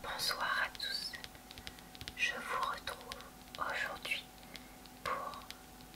Bonsoir à tous, je vous retrouve aujourd'hui pour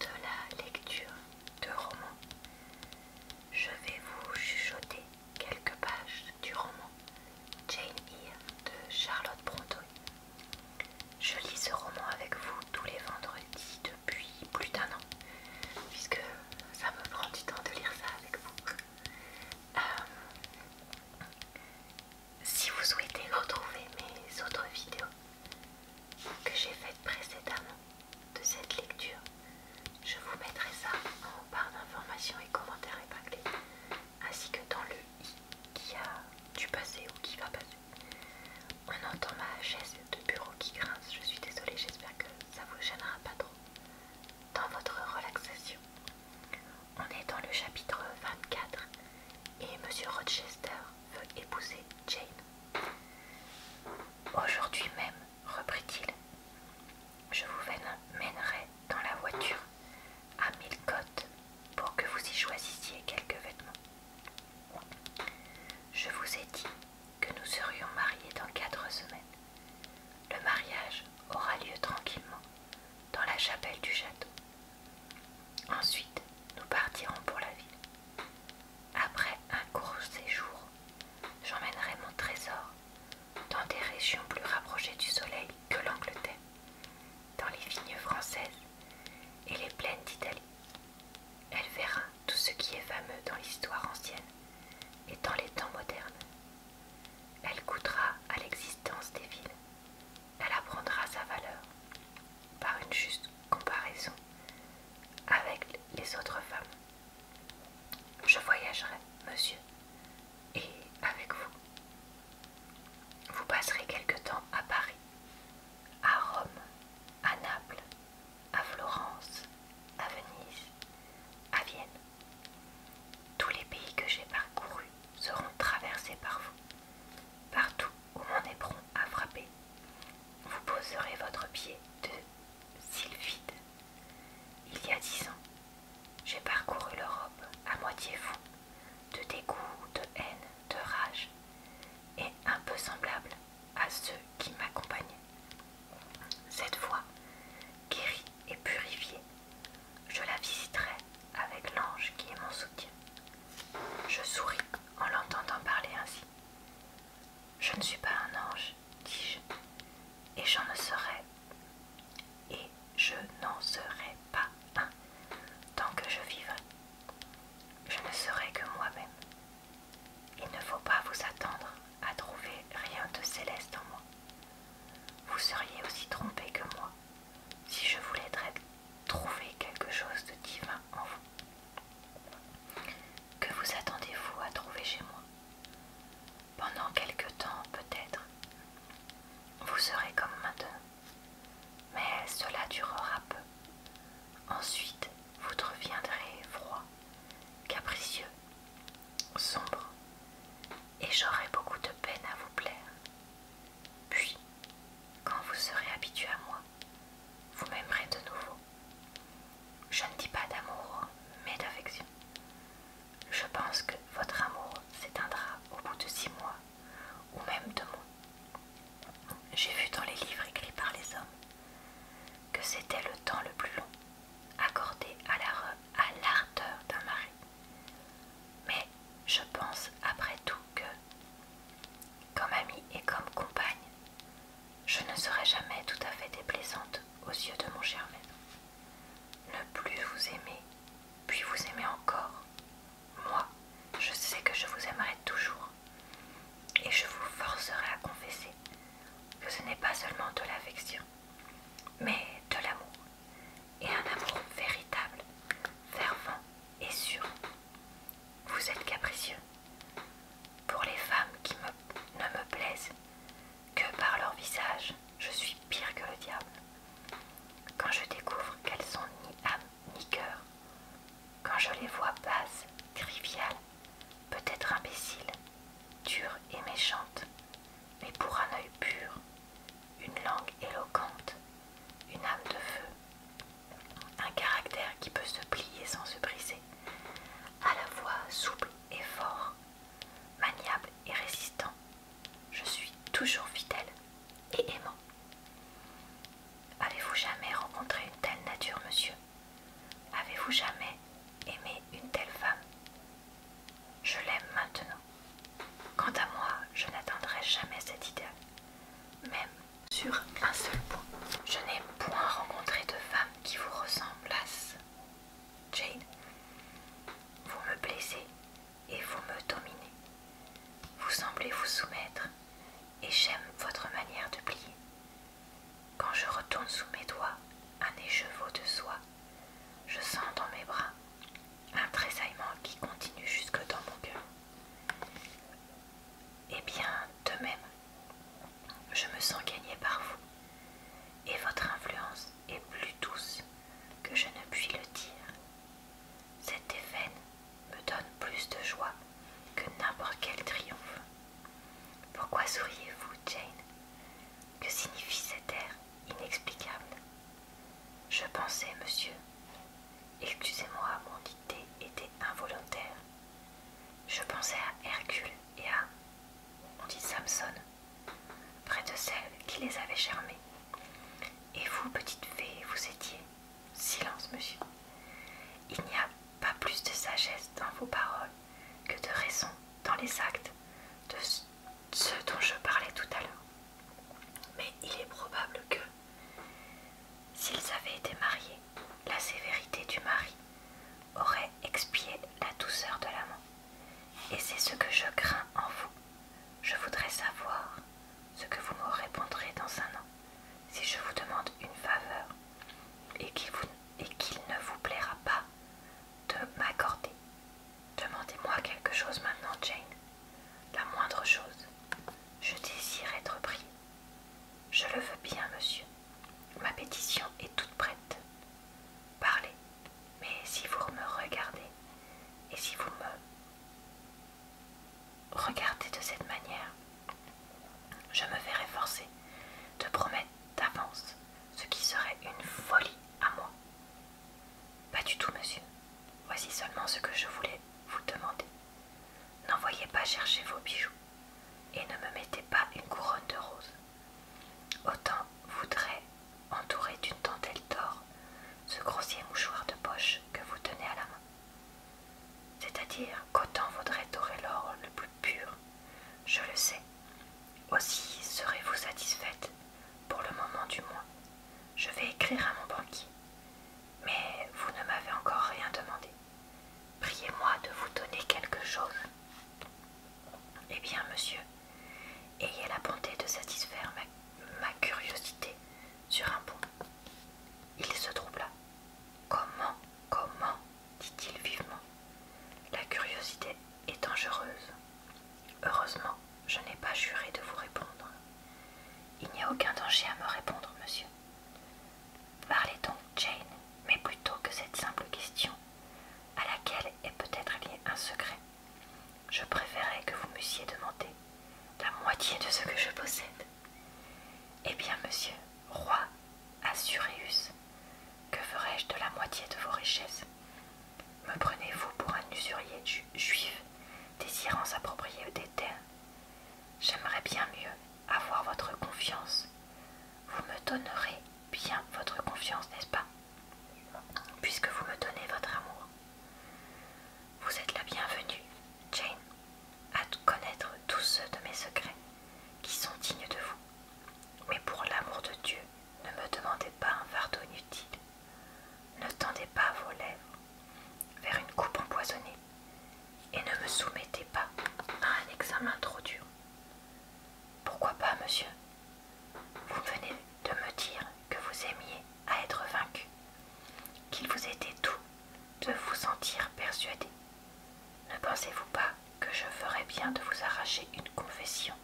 de la lecture de roman. Je vais vous chuchoter quelques pages du roman Jane Eyre de Charlotte Brontë. Je lis ce roman avec vous tous les vendredis depuis plus d'un an, puisque ça me prend du temps de lire ça avec vous. Euh, si vous souhaitez retrouver mes autres vidéos que j'ai faites précédemment de cette lecture, je vous mettrai ça en barre d'informations et commentaires épinglés, ainsi que dans le i qui a dû passé ou qui va passer. On entend ma chaise de bureau qui grince, je suis désolée, j'espère que ça vous gênera pas trop dans votre relaxation. On est dans le chapitre 24 et Monsieur Rochester veut épouser Jane. Aujourd'hui même, reprit-il, je vous mènerai dans la voiture à Millcote pour que vous y choisissiez quelques vêtements. Je vous ai dit que nous serions mariés dans quatre semaines. Le mariage aura lieu tranquillement dans la chapelle du château. Ensuite, nous partirons pour la ville. Après un court séjour, j'emmènerai mon trésor dans des régions plus rapprochées du soleil que l'Angleterre, dans les vignes françaises et les plaines d'Italie. Elle verra tout ce qui est fameux dans l'histoire ancienne et dans les temps modernes. Elle coûtera à l'existence des villes. Elle apprendra sa valeur par une juste comparaison avec les autres femmes. Je voyagerai, monsieur, et avec vous. Vous passerez quelque temps à Paris, à Rome, à Naples, à Florence, à Venise, à Vienne. Tous les pays que j'ai parcourus seront traversés par vous. Partout où mon éperon a frappé, vous poserez votre pied de sylphide. Il y a dix ans, j'ai parcouru l'Europe à moitié fou, de dégoût, de haine, de rage, et un peu semblable à ceux qui m'accompagnaient. Cette fois, guérie et purifiée, je la visiterai avec l'ange qui est mon soutien. Je souris en l'entendant parler ainsi. Je ne suis pas un ange, dis-je, et j'en ne serai, et je n'en serai pas un tant que je vivrai. Je ne serai que moi-même, il ne faut pas vous attendre à trouver rien de céleste en moi. Vous seriez aussi trompé que moi si je voulais trouver quelque chose de divin en vous. Que vous attendez-vous à trouver chez moi Pendant quelque temps peut-être, vous serez comme maintenant, mais cela durera peu. Ensuite, vous deviendrez froid, capricieux sombre, et j'aurai beaucoup de peine à vous plaire. Puis, quand vous serez habitué à moi, vous m'aimerez de nouveau. Je ne dis pas d'amour, mais d'affection. Je pense que votre amour s'éteindra au bout de six mois, ou même de mois. J'ai vu dans les livres écrits par les hommes que c'était le temps le plus long accordée à l'ardeur d'un mari. Mais je pense après tout que, comme amie et comme compagne, je ne serai jamais tout à fait déplaisante aux yeux de mon cher maître. Ne plus vous aimer, puis vous aimer encore. Moi, je sais que je vous aimerai toujours et je vous forcerai à confesser que ce n'est pas seulement de l'affection, mais de l'amour, et un amour véritable, fervent et sûr. Vous êtes capricieux pour les femmes qui ne me plaisent que par leur visage. Je suis pire que le diable. Quand je découvre qu'elles ont ni âme ni cœur, quand je les vois basses, triviales, peut-être imbéciles, dures et méchantes, mais pour un œil pur, une langue éloquente, une âme de feu, un caractère qui peut se plier sans se briser, à la fois souple et fort, maniable et résistant. Je suis toujours fidèle et aimant. Avez-vous jamais rencontré une telle nature, monsieur Avez-vous jamais aimé une telle femme Je l'aime maintenant. Quant à moi, je n'atteindrai jamais cet idéal, même sur un seul point. Je n'ai point rencontré de femme qui vous ressemblasse. Jane, vous me blessez et vous me dominez. Vous semblez vous soumettre et j'aime votre manière de plier. Quand je retourne sous mes doigts un écheveau de soie, je sens dans mes bras un tressaillement qui continue jusque dans mon cœur. Eh bien, de même, je me sens gagné par vous, et votre influence est plus douce que je ne puis le dire. Cette me donne plus de joie que n'importe quel triomphe. Pourquoi souriez-vous, Jane Que signifie cet air inexplicable Je pensais, monsieur. Excusez-moi, mon idée était involontaire. Je pensais à Hercule et à. mon dit Samson, près de celle qui les avait charmés. Et vous, petite fée, vous étiez Silence, monsieur. Il n'y a pas plus de sagesse dans vos paroles que de raison dans les actes de ceux dont je parlais tout à l'heure. Mais il est probable que, s'ils avaient été mariés, la sévérité du mari aurait expié la douceur de l'amant. Et c'est ce que je crains en vous. Je voudrais savoir ce que vous me répondrez dans un an, si je vous demande une faveur et qu'il ne vous plaira pas de m'accorder. Demandez-moi quelque chose maintenant, Jane. La moindre chose. Je désire être pris. Je le veux bien, monsieur. Ma pétition est toute prête. Parlez. Mais si vous me regardez, et si vous me « Regardez de cette manière, je me verrai forcée de promettre d'avance ce qui serait une folie à moi. Pas du tout, monsieur. Voici seulement ce que je voulais vous demander. N'envoyez pas chercher vos bijoux et ne me mettez pas une couronne de roses. Autant voudrez entourer d'une dentelle d'or ce grossier mouchoir de poche que vous tenez à la main. C'est-à-dire qu'autant vaudrait dorer l'or le plus pur, je le sais. Aussi serez-vous satisfaite, pour le moment du moins. Je vais écrire à mon banquier. Mais vous ne m'avez encore rien demandé. Priez-moi de vous donner quelque chose. Eh bien, monsieur, ayez la bonté de satisfaire ma curiosité sur un point. Il se troubla. Comment Comment dit-il vivement. La curiosité est dangereuse. Heureusement, je n'ai pas juré de vous répondre. Il n'y a aucun danger à me répondre, monsieur. Parlez donc, Jane, mais plutôt que cette simple question, à laquelle est peut-être lié un secret. Je préférais que vous m'eussiez demandé la moitié de ce que je possède. Eh bien, monsieur, roi Assuréus, que ferais je de la moitié de vos richesses Me prenez-vous pour un usurier juif désirant s'approprier des terres J'aimerais bien mieux avoir votre confiance. Vous me donnerez bien votre confiance, n'est-ce pas Puisque vous me donnez votre amour. Vous êtes la bienvenue, Jane, à connaître tous ceux de mes secrets qui sont dignes de vous. Mais pour l'amour de Dieu, ne me demandez pas un fardeau inutile. Ne tendez pas vos lèvres vers une coupe empoisonnée et ne me soumettez pas à un examen trop dur. Pourquoi pas, monsieur Vous venez de me dire que vous aimiez à être vaincu, qu'il vous était tout de vous sentir persuadé. Ne pensez-vous pas que je ferais bien de vous arracher une confession,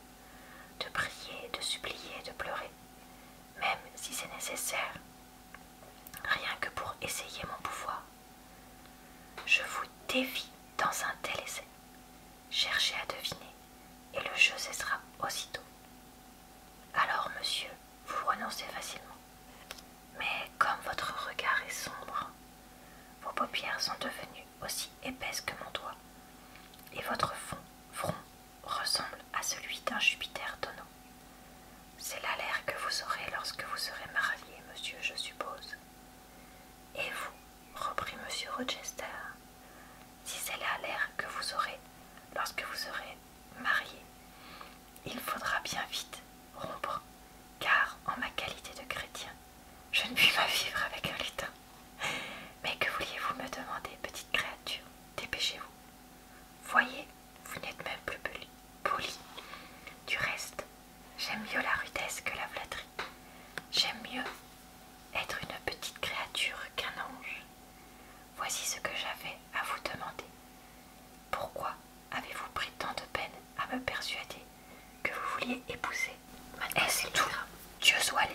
de prier, de supplier, de pleurer, même si c'est nécessaire, rien que pour essayer mon pouvoir Je vous dévie dans un tel essai. Cherchez à deviner, et le jeu cessera aussitôt. Alors, monsieur, vous renoncez facilement. Mais comme votre regard est sombre, vos paupières sont devenues aussi épaisses que mon doigt, et votre front ressemble à celui d'un Jupiter tonneau C'est là l'air que vous aurez lorsque vous serez marié, monsieur, je suppose. Et vous, reprit monsieur Rochester, si c'est là l'air que vous aurez lorsque vous serez marié. Il faudra bien vite rompre, car en ma qualité de chrétien, je ne puis pas vivre avec un lutin. Mais que vouliez-vous me demander, petite créature Dépêchez-vous. Voyez, vous n'êtes même plus poli. Du reste, j'aime mieux la rudesse que la flatterie. J'aime mieux être une petite créature qu'un ange. Voici ce que j'avais à vous demander. Pourquoi avez-vous pris tant de peine à me persuader que vous vouliez épouser Est-ce tout Dieu soit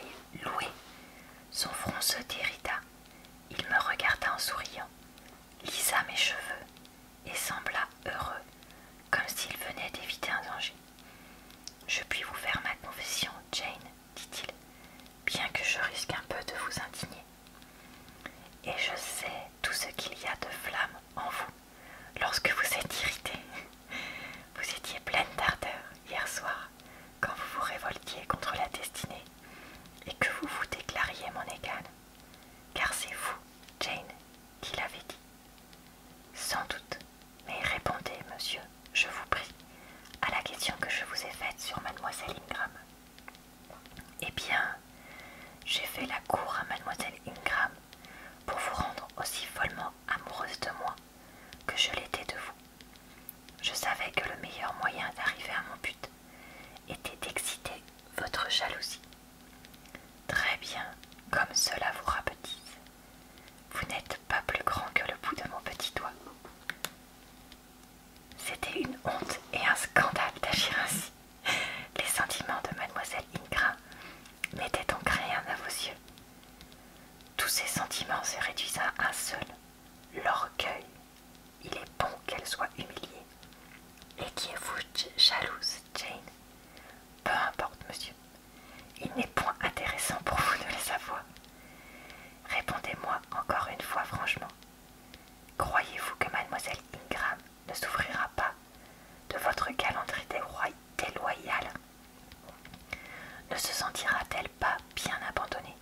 loué. Son front se dérida. Il me regarda en souriant, lisa mes cheveux et sembla heureux, comme s'il venait d'éviter un danger. Je puis vous faire ma confession, Jane, dit-il, bien que je risque un peu de vous indigner. Et je sais tout ce qu'il y a de flamme en vous lorsque vous êtes irrité. Vous étiez pleine d'ardeur hier soir quand vous vous révoltiez contre la destinée et que vous vous déclariez mon égal. Car c'est vous, Jane, qui l'avez dit. Sans doute mais répondez, monsieur, je vous prie, à la question que je vous ai faite sur mademoiselle Ingram. Eh bien, j'ai fait la cour à mademoiselle Ingram pour vous rendre aussi follement amoureuse de moi que je l'étais de vous. Je savais que le meilleur moyen d'arriver à mon but était d'exciter votre jalousie. Très bien, comme cela vous rapetisse. Vous n'êtes pas plus grand que le bout de mon petit doigt. C'était une honte et un scandale d'agir ainsi. Les sentiments de mademoiselle Ingra n'étaient donc rien à vos yeux. Tous ces sentiments se réduisent à un seul, l'orgueil. Il est bon qu'elle soit humiliée. Et qui est vous jalouse, Jane Peu importe, monsieur. Il n'est point intéressant pour vous de les savoir. Répondez-moi encore une fois franchement. Croyez-vous que mademoiselle Ingram ne souffrira pas de votre galanterie déloyale Ne se sentira-t-elle pas bien abandonnée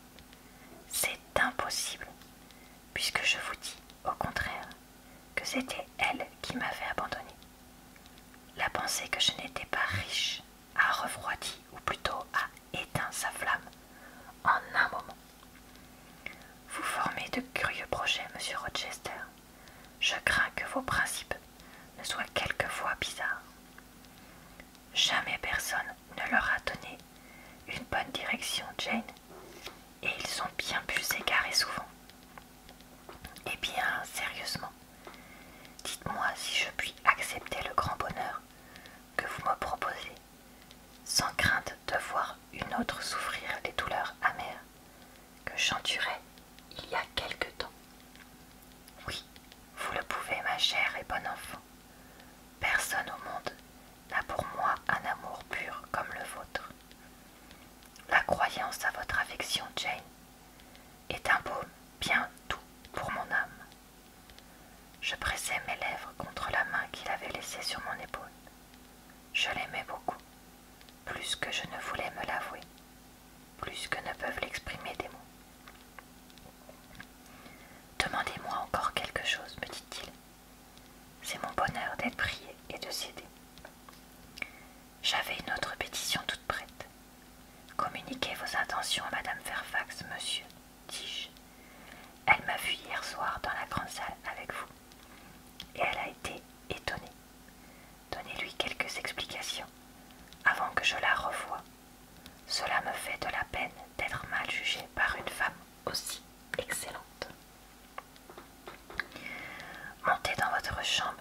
C'est impossible, puisque je vous dis, au contraire, que c'était elle qui m'avait abandonnée. La pensée que je n'étais pas riche a refroidi, ou plutôt a éteint sa flamme en un moment. Vous formez de curieux projets, monsieur Rochester. Je crains que vos principes ne soient quelquefois bizarres. Jamais personne ne leur a donné une bonne direction, Jane, et ils sont bien plus s'égarer souvent. Eh bien, sérieusement, dites-moi si je puis accepter le grand bonheur que vous me proposez, sans crainte de voir une autre souffrir des douleurs amères que j'endurais il y a quelque temps. Oui, vous le pouvez, ma chère et bonne enfant. Personne au monde n'a pour moi un amour pur comme le vôtre. La croyance à votre affection, Jane, est un baume bien doux pour mon âme. Je pressai mes lèvres contre la main qu'il avait laissée sur mon épaule. Je l'aimais beaucoup, plus que je ne voulais me l'avouer, plus que ne peuvent l'exprimer des mots. Demandez-moi encore quelque chose, me dit-il. C'est mon bonheur d'être prié et de céder. J'avais une autre pétition toute prête. Communiquez vos intentions à Madame Fairfax, monsieur, dis-je. Elle m'a vu hier soir dans la grande salle avec vous. Et elle a été étonnée. Donnez-lui quelques explications avant que je la revoie. Cela me fait de la peine d'être mal jugée par une femme aussi excellente. Montez dans votre chambre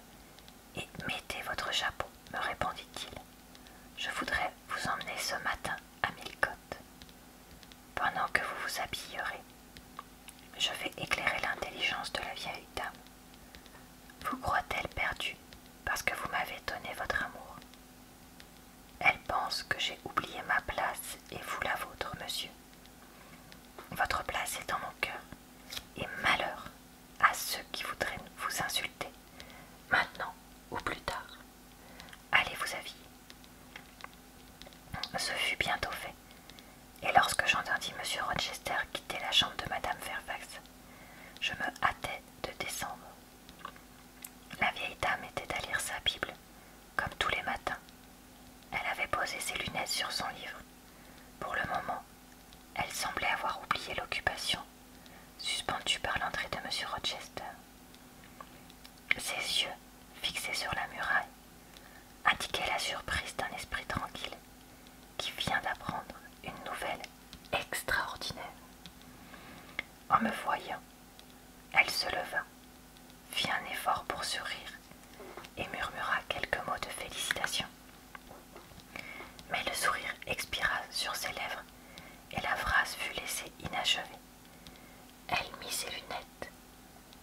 et mettez votre chapeau, me répondit-il. Je voudrais vous emmener ce matin à Milcote. Pendant que vous vous habillerez, je vais éclairer l'intelligence de la vieille dame. Vous croit-elle perdue parce que vous m'avez donné votre amour Elle pense que j'ai oublié ma place et vous la vôtre, monsieur. Votre place est dans mon cœur, et malheur à ceux qui voudraient vous insulter, maintenant ou plus tard. Allez vous aviser. Ce fut bientôt fait, et lorsque j'entendis M. Rochester quitter la chambre de Madame Fairfax, je me hâtai de descendre. La vieille dame était à lire sa Bible, comme tous les matins. Elle avait posé ses lunettes sur son livre pour le moment, elle semblait avoir oublié l'occupation, suspendue par l'entrée de M. Rochester. Ses yeux, fixés sur la muraille, indiquaient la surprise d'un esprit tranquille qui vient d'apprendre une nouvelle extraordinaire. En me voyant, elle se leva, fit un effort pour sourire et murmura quelques mots de félicitations. Mais le sourire expira sur ses lèvres et la phrase fut laissée inachevée. Elle mit ses lunettes,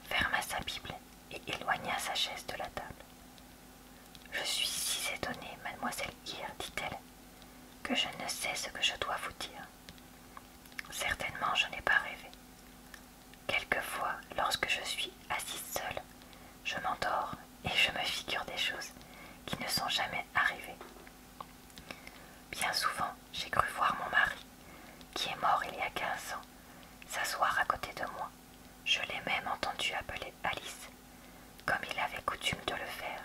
ferma sa Bible et éloigna sa chaise de la table. Je suis si étonnée, mademoiselle Kier, dit-elle, que je ne sais ce que je dois vous dire. Certainement, je n'ai pas rêvé. Quelquefois, lorsque je suis assise seule, je m'endors et je me figure des choses qui ne sont jamais arrivées. Bien souvent, j'ai cru voir mon mari, qui est mort il y a quinze ans, s'asseoir à côté de moi. Je l'ai même entendu appeler Alice, comme il avait coutume de le faire.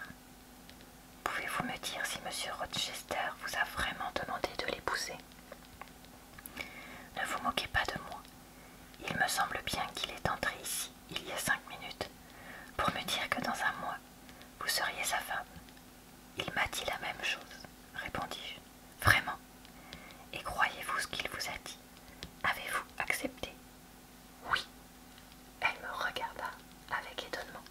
Pouvez-vous me dire si M. Rochester vous a vraiment demandé de l'épouser ne vous moquez pas de moi. Il me semble bien qu'il est entré ici, il y a cinq minutes, pour me dire que dans un mois, vous seriez sa femme. Il m'a dit la même chose, répondis-je. Vraiment Et croyez-vous ce qu'il vous a dit Avez-vous accepté Oui. Elle me regarda avec étonnement.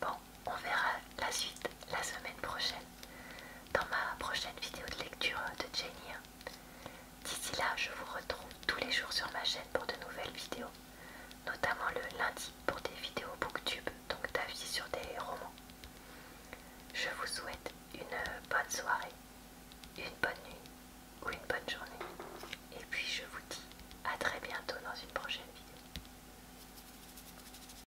Bon, on verra la suite la semaine prochaine dans ma prochaine vidéo de lecture de Jenny. D'ici là, je vous retrouve tous les jours sur ma chaîne pour de nouvelles vidéos, notamment le lundi pour des vidéos booktube, donc d'avis sur des romans. Je vous souhaite une bonne soirée, une bonne nuit ou une bonne journée. Et puis je vous dis à très bientôt dans une prochaine vidéo.